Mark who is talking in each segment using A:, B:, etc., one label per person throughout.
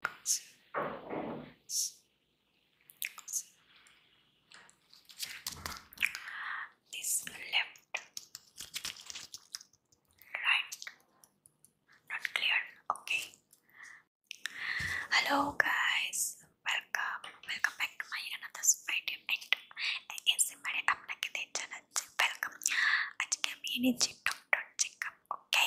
A: This left, right, not clear. Okay. Hello, guys. Welcome. Welcome back to my another video. And ASMR, I'm not Welcome. আজকে আমি এনেছি doctor checkup okay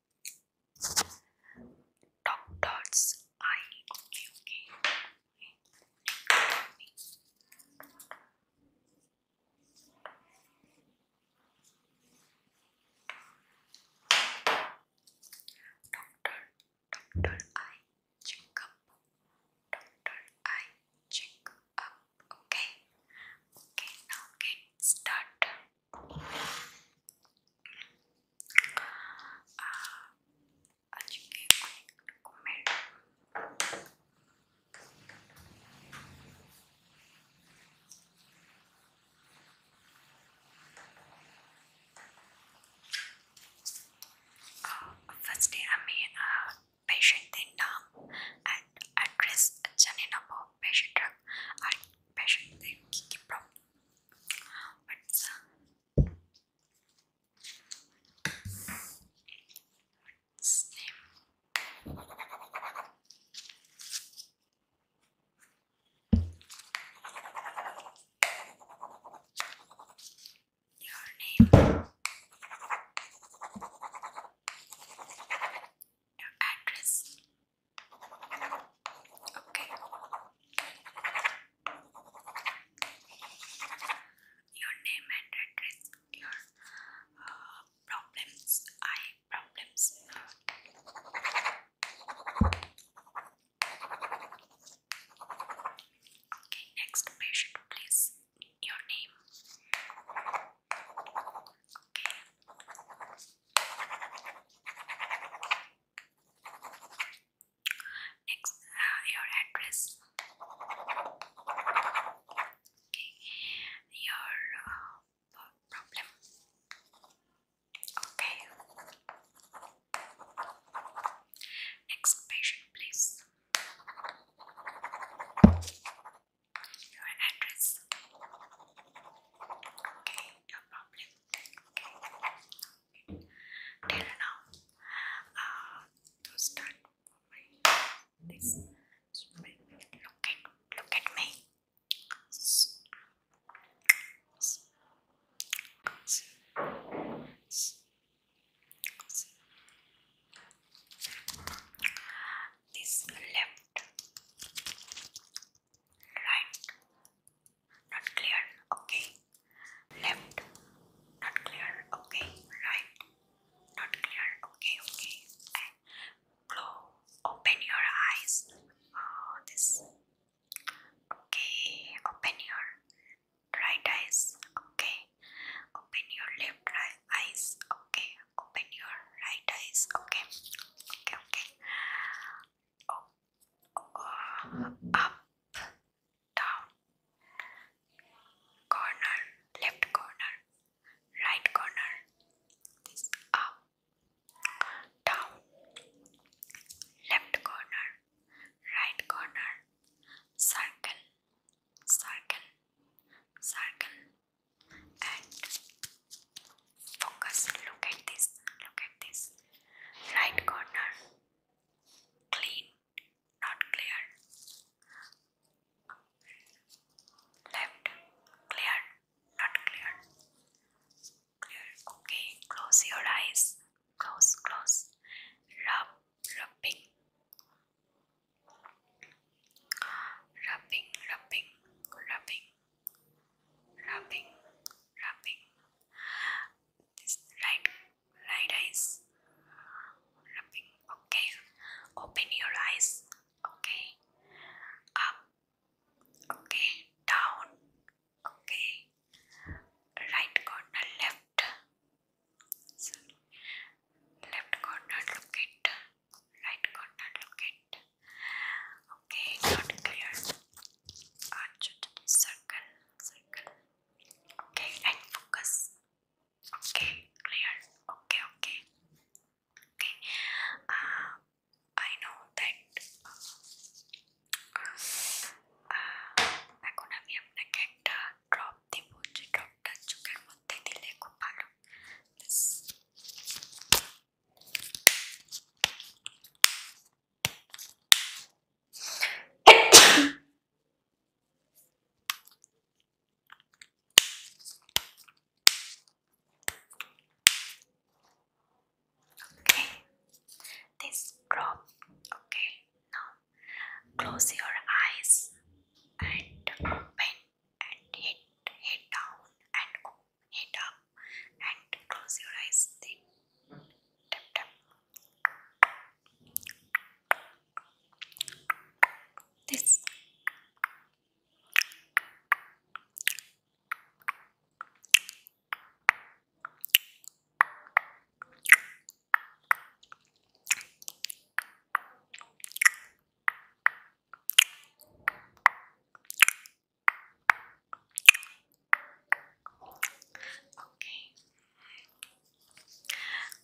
A: dot I okay okay Doctor Doctor I check Doctor I check okay okay now get started আজকে অনেক রকমের ফার্স্টে আমি পেশেন্টদের নাম অ্যান্ড অ্যাড্রেস জানিয়ে নেবো পেশেন্টরা আর patient they What's Your name, your address, your name and address, your uh, problems, eye problems. Okay, next patient, please. Your name. Next, uh, your address. Okay, your uh, problem. Okay. Next patient, please your address. Okay, no problem. Okay. Till now, uh, to start my this. Look at look at me. This left Right. Not clear. Okay. Left. Not clear. Okay. Right. Not clear. Okay. Okay. And Open your eyes. Oh, this. Okay. Open your right eyes. Okay. Open your left eyes. Okay open your right eyes. Okay, okay, okay. Oh, oh, up, down, corner, left corner, right corner. This up, down, left corner, right corner, circle, circle, circle and focus look at this look at this right corner clean not clear left clear not clear clear okay close your eyes close close rub rubbing rubbing, rubbing, rubbing, rubbing, rubbing. This right, right eyes, rubbing. Okay, open your eyes. Okay, up. Okay, down. Okay, right corner, left. left corner, look it right corner locate okay not clear arch circle circle okay and focus okay clear okay okay okay uh, I know that uh, এখন আমি আপনাকে একটা drop দেবো যে ড্রপটা চোখের মধ্যে দিলে খুব ভালো okay, this drop. Okay, now close your eyes and open and head head down and go head up and close your eyes then tap tap this Okay.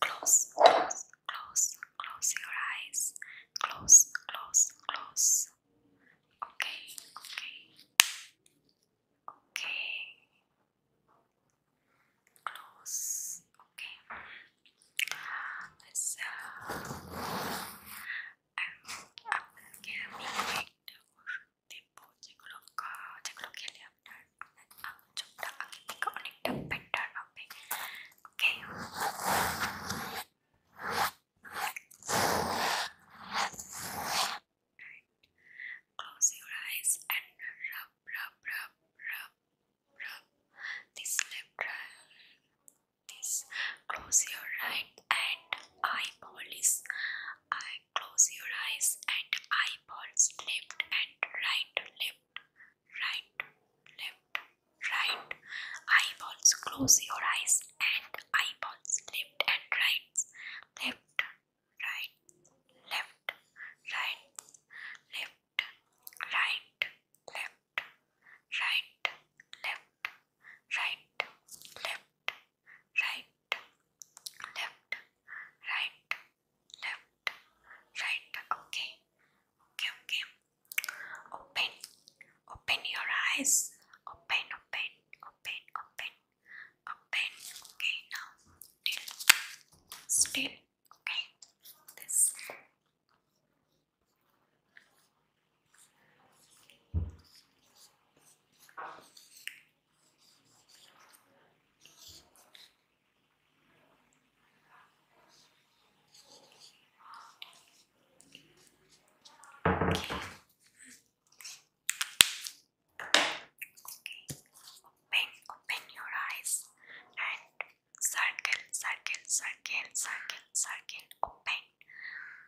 A: Close, close, close, close your eyes. Close, close, close. Okay, okay. Okay. Close. Okay. So I'm gonna Check के लिए Close your eyes and rub, rub, rub, brow, this left brow, this close your right and eyeball is eye close your eyes and eyeballs left and right left right left right eyeballs close your eyes and eyeballs left and right left right left right left right, left, right, left, right, left, right, left, right, left, right. Okay, okay, okay. Open, open your eyes. Open, open, open, open, open. Okay, now still, still and this. open, open your eyes and circle, circle, circle, circle, circle, open,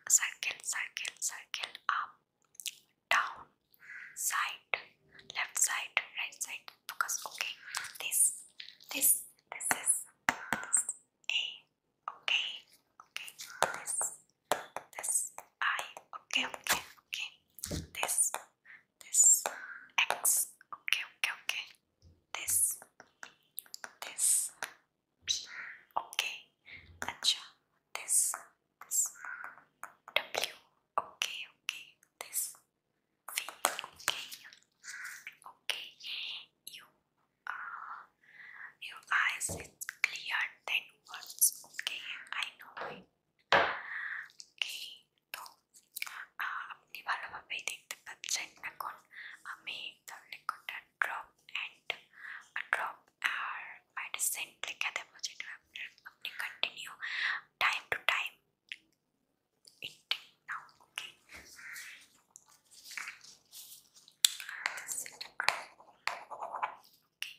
A: circle, circle, circle, up, down, side, left side, right side. Focus, okay. This, this, this is this A, okay, okay. This, this I, okay, okay, okay. This this X, okay, okay, okay, this, this, P, okay, Acha, this, this, W, okay, okay, this, V, okay, okay, you, uh, your eyes is clear than words, okay, I know it, okay, তো আপনি ভালোভাবেই দেখতে পাচ্ছেন এখন আমি তাহলে কোনটা drop and drop আর মেডিসিন লেখা দেবো যেটা আপনার আপনি continue time to time eat now okay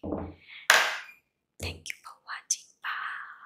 A: Okay. Thank you for watching. Bye.